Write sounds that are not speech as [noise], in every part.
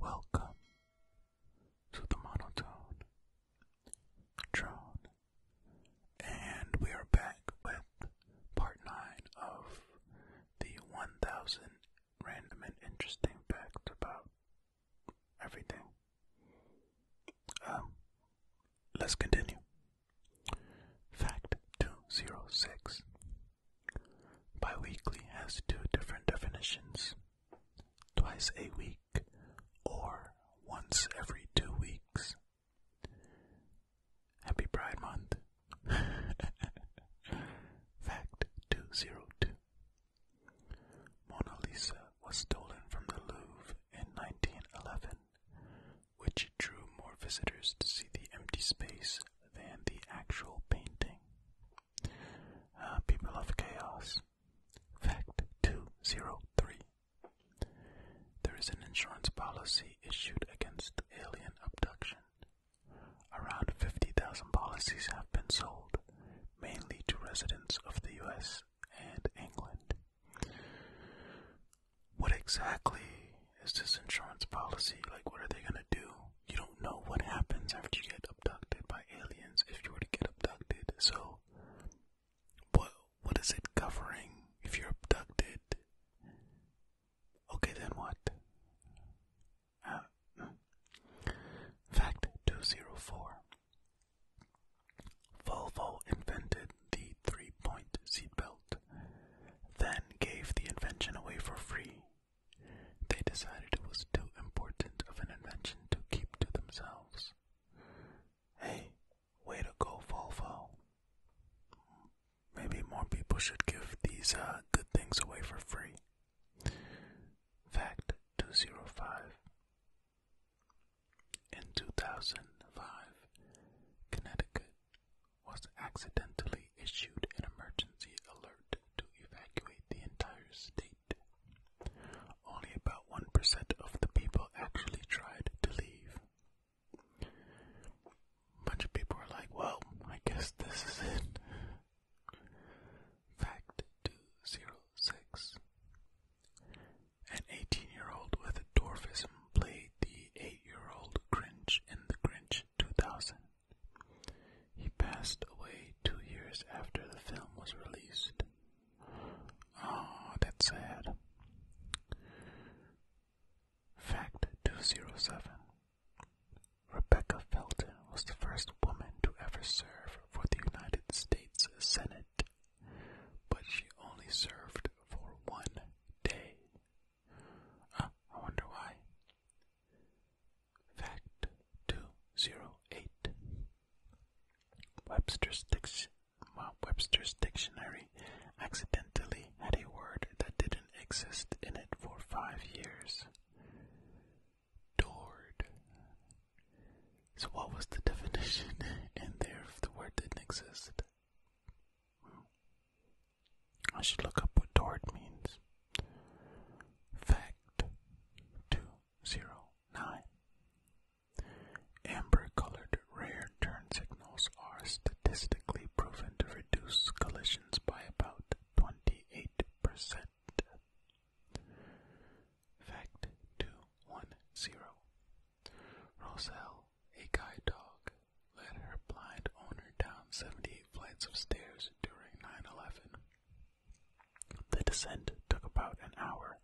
Welcome to the monotone drone, and we are back with part nine of the 1000 random and interesting facts about everything. Um, let's continue. Fact 206. Biweekly has two different definitions. Twice a week or once every two weeks. Happy Pride Month. [laughs] Fact 202. Mona Lisa was stolen from the Louvre in 1911, which drew more visitors to see the empty space than the actual painting. Uh, people of Chaos. Fact 203. There is an insurance policy issued against alien abduction. Around 50,000 policies have been sold, mainly to residents of the US and England. What exactly is this insurance policy? Like, what are they going to do? You don't know what happens after you get abducted by aliens if you were to get abducted. So, what, what is it covering if you're abducted? Okay, then what? Uh, fact 204 Volvo invented the three point seatbelt, then gave the invention away for free. They decided it was too important of an invention to keep to themselves. Hey, way to go, Volvo. Maybe more people should give these uh, good things away for free. Fact 205 In 2005, Connecticut was accidentally issued an emergency alert to evacuate the entire state. Only about 1% of the people actually tried to leave a bunch of people are like, well, I guess this is it. Fact 206 An 18 year old with dwarfism played the 8 year old Grinch in The Grinch 2000. He passed away two years after the film was released. Oh, that's sad. Fact 207 Rebecca Felton was the first woman to ever serve for the United States Senate, but she only served for one day. Uh, I wonder why. Fact 208 Webster's, Dictionary accidentally had a word that did exist in it for five years. Doored. So, what was the [laughs] definition in there if the word didn't exist? I should look up what doored means. Fact 209 Amber colored rare turn signals are statistically proven to reduce collisions by about 28 Fact 210 Roselle, a guide dog, led her blind owner down 78 flights of stairs during 9 11. The descent took about an hour,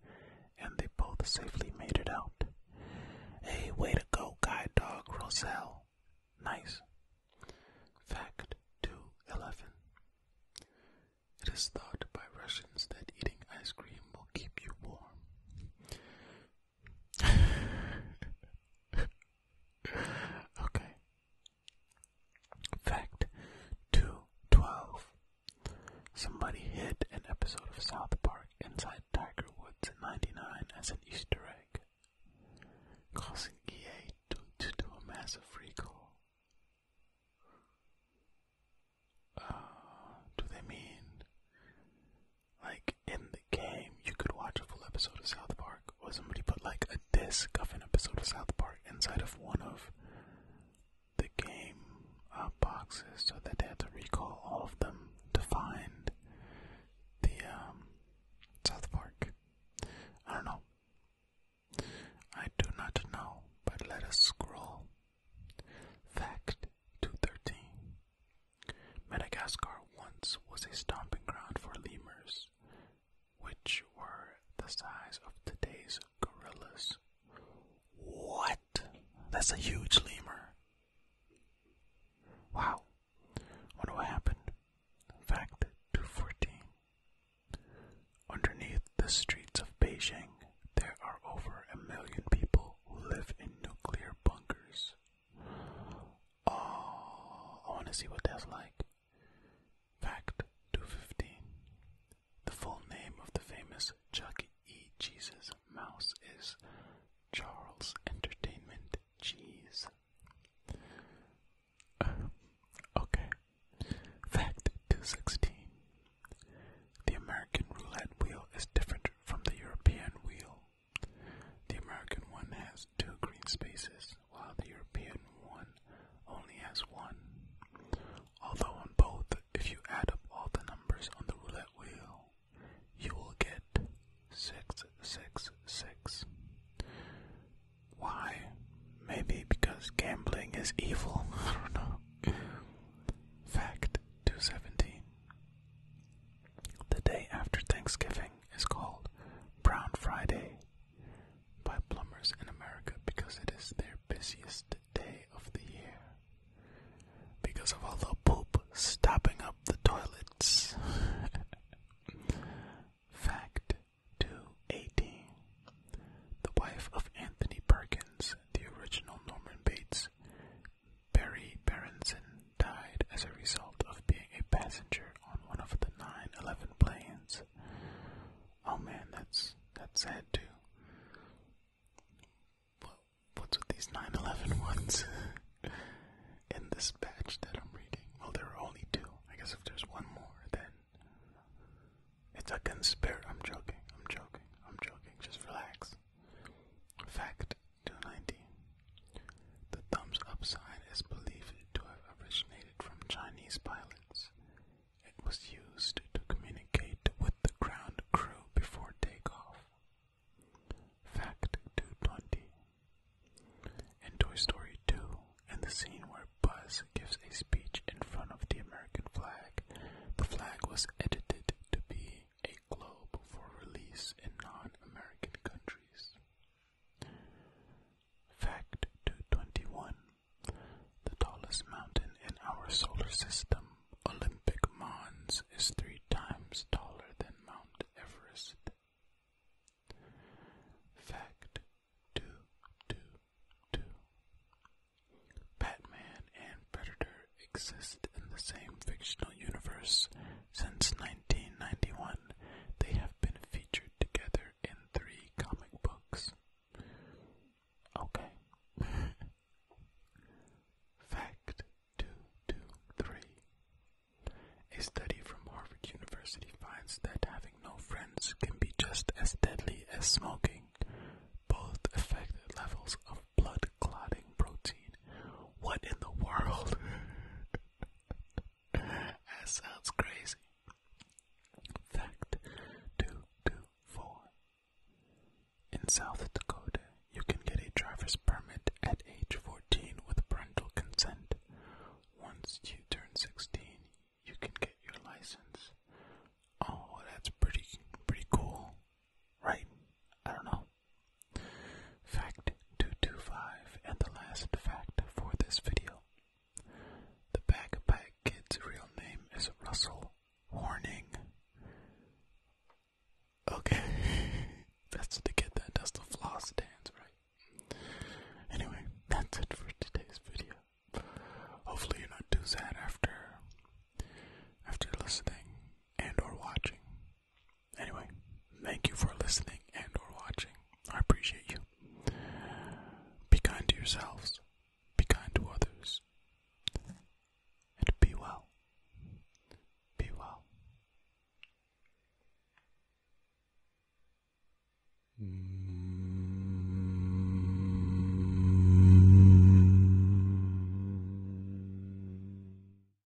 and they both safely made it out. Hey, way to go, guide dog Roselle. Nice. Fact 211. It is thought by Russians that eating ice cream will keep you warm. [laughs] okay. Fact 212. Somebody hid an episode of South Park inside Tiger Woods in 99 as an Easter egg, causing EA to, do a massive recall. Uh, do they mean, like in the game, you could watch a full episode of South Park, or somebody put like a disc of an episode of South Park inside of one of the game uh, boxes, so that they had to recall all of them to find the um, South Park. I don't know. I do not know, but let us scroll. Fact 213 Madagascar once was a stomping ground for lemurs, which were the size of today's gorillas. What? that's a huge lemur. Wow. What will Fact 214. Underneath the streets of Beijing, there are over a million people who live in nuclear bunkers. Oh, I want to see what that's like. Fact 215. The full name of the famous Chuck E. Cheese's mouse is Charles Entertainment Cheese. Uh, okay. Fact 216. The American roulette wheel is different from the European wheel. The American one has two green spaces, while the European one only has one. Although on both, if you add up all the numbers on the roulette wheel, you will get 666. Six, six. Why? Maybe because gambling is evil. [laughs] I don't know. Fact 217. The day after Thanksgiving is called Brown Friday by plumbers in America because it is their busiest day of the year because of all the poop stopping up the toilets. [laughs] Fact 218 The wife of Anthony Perkins, the original Norman Bates, Barry Berenson, died as a result of being a passenger on one of the 9 planes. Oh man, that's that's sad too. What what's with these 9 [laughs] in this batch that I'm reading? Well, there are only two. I guess if there's one more, then it's a conspiracy. I'm joking. I'm joking. I'm joking. Just relax. Fact 290. The thumbs up sign is believed to have originated from Chinese pilots. It was used to communicate with the ground crew before takeoff. Fact 220. In Toy Story 2, in the scene where Buzz gives a speech in front of the American flag, the flag was edited to be a globe for release in non American countries. Fact 221 The tallest mountain in our solar system, Olympic Mons, is three times taller than Mount Everest. Fact 222 Batman and Predator exist in the same fictional universe since 19. 1991, they have been featured together in three comic books. Okay. [laughs] Fact 223. A study from Harvard University finds that having no friends can be just as deadly as smoking. Both affect levels of blood clotting protein. What in the world? [laughs] That sounds crazy. Fact 224. In South Dakota, you can get a driver's permit at age 14 with parental consent. Once you turn 16, you can get your license. Oh, that's pretty pretty cool. Right? I don't know. Fact 225 and the last fact for this video. The Bagpack Kid's real name is Russell Horning. Okay, [laughs] that's to get that dust of floss dance, right? Anyway, that's it for today's video. Hopefully you're not too sad after after listening and or watching Anyway, thank you for listening and or watching. I appreciate you. Be kind to yourselves. Be kind to others. And be well. Be well.